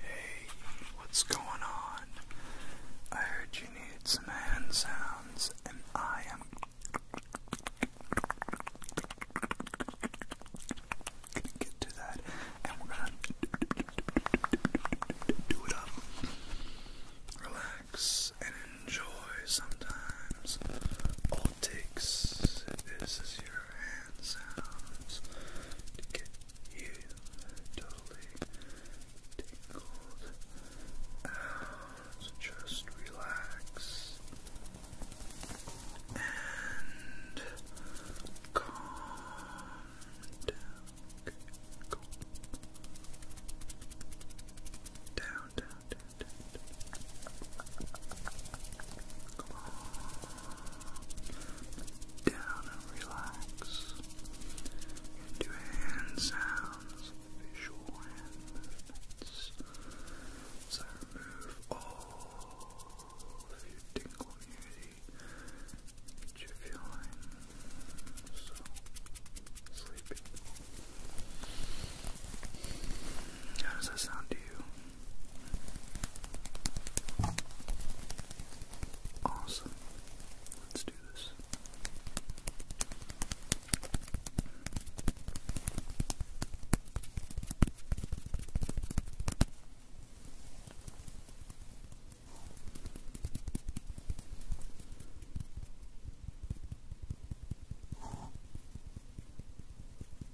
Hey, what's going on? I heard you need some hand sounds, and I am gonna get to that, and we're gonna do it up. Relax and enjoy sometimes. All it takes. is your hand to get you totally tingled out. Just relax and Calm. Down, down, down, down, down. Come on down and relax into hand sounds, visual hand movements. So remove all of your tingle immunity that you're feeling so sleepy. How does that sound to you? Awesome. Let's do this.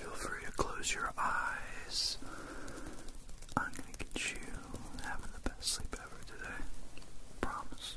Feel free to close your eyes. I'm gonna get you having the best sleep ever today. Promise.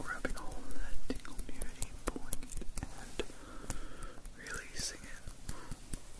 Grabbing all of that tingle and releasing it.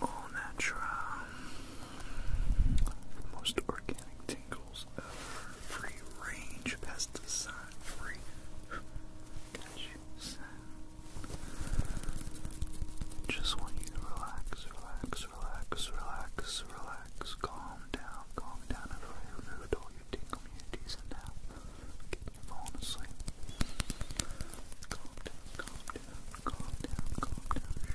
All natural, most organic just want you to relax, relax, relax, relax, relax, calm down, calm down. I've already removed all your tingle immunities and now getting you falling asleep. Calm down, calm down, calm down, calm down.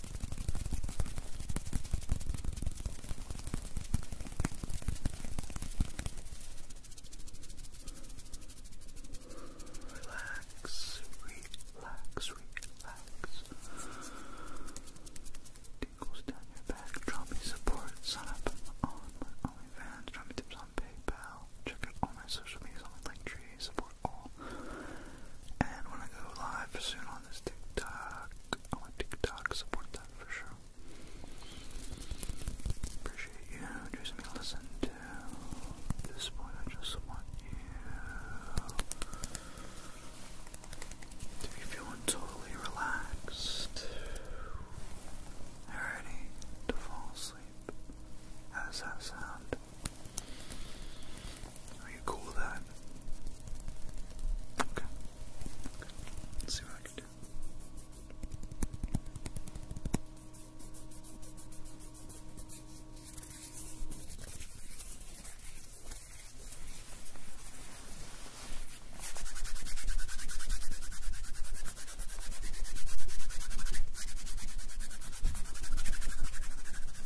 Relax, relax, relax. Tingles down your back. Drop support. Sign up on my OnlyFans. Drop tips on PayPal. Check out all my social medias on my link tree. Support all. And when I go live soon on this TikTok, I want TikTok support that for sure. Appreciate you choosing me to listen to. At this point, I just want you to be feeling totally relaxed. Ready to fall asleep. How does that sound? Are you cool with that? Okay. okay. Let's see what I can do.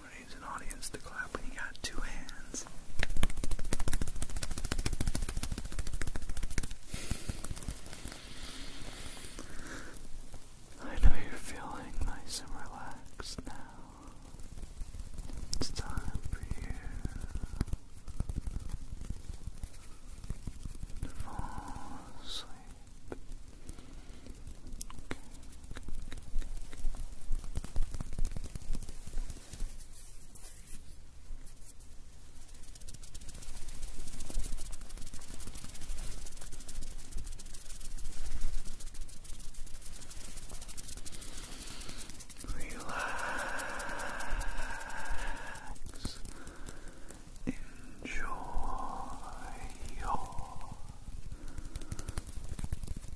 What needs an audience to clap when got two hands? I know you're feeling nice and relaxed now. It's time for you to fall asleep. Relax. Enjoy your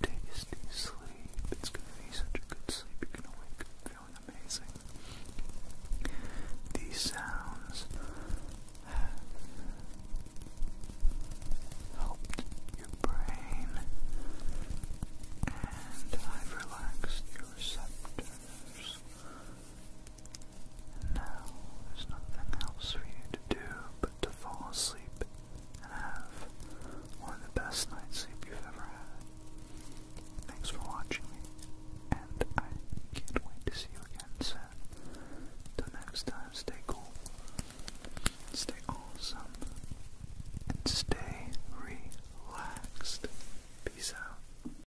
tasty sleep. It's going to be such a good sleep. You're going to wake up feeling amazing. These sounds helped your brain and have relaxed your receptors now there's nothing else for you to do but to fall asleep and have one of the best night's sleep you've ever had. Thanks for watching and I can't wait to see you again soon. Till next time, stay cool, stay awesome, and stay relaxed. Peace out.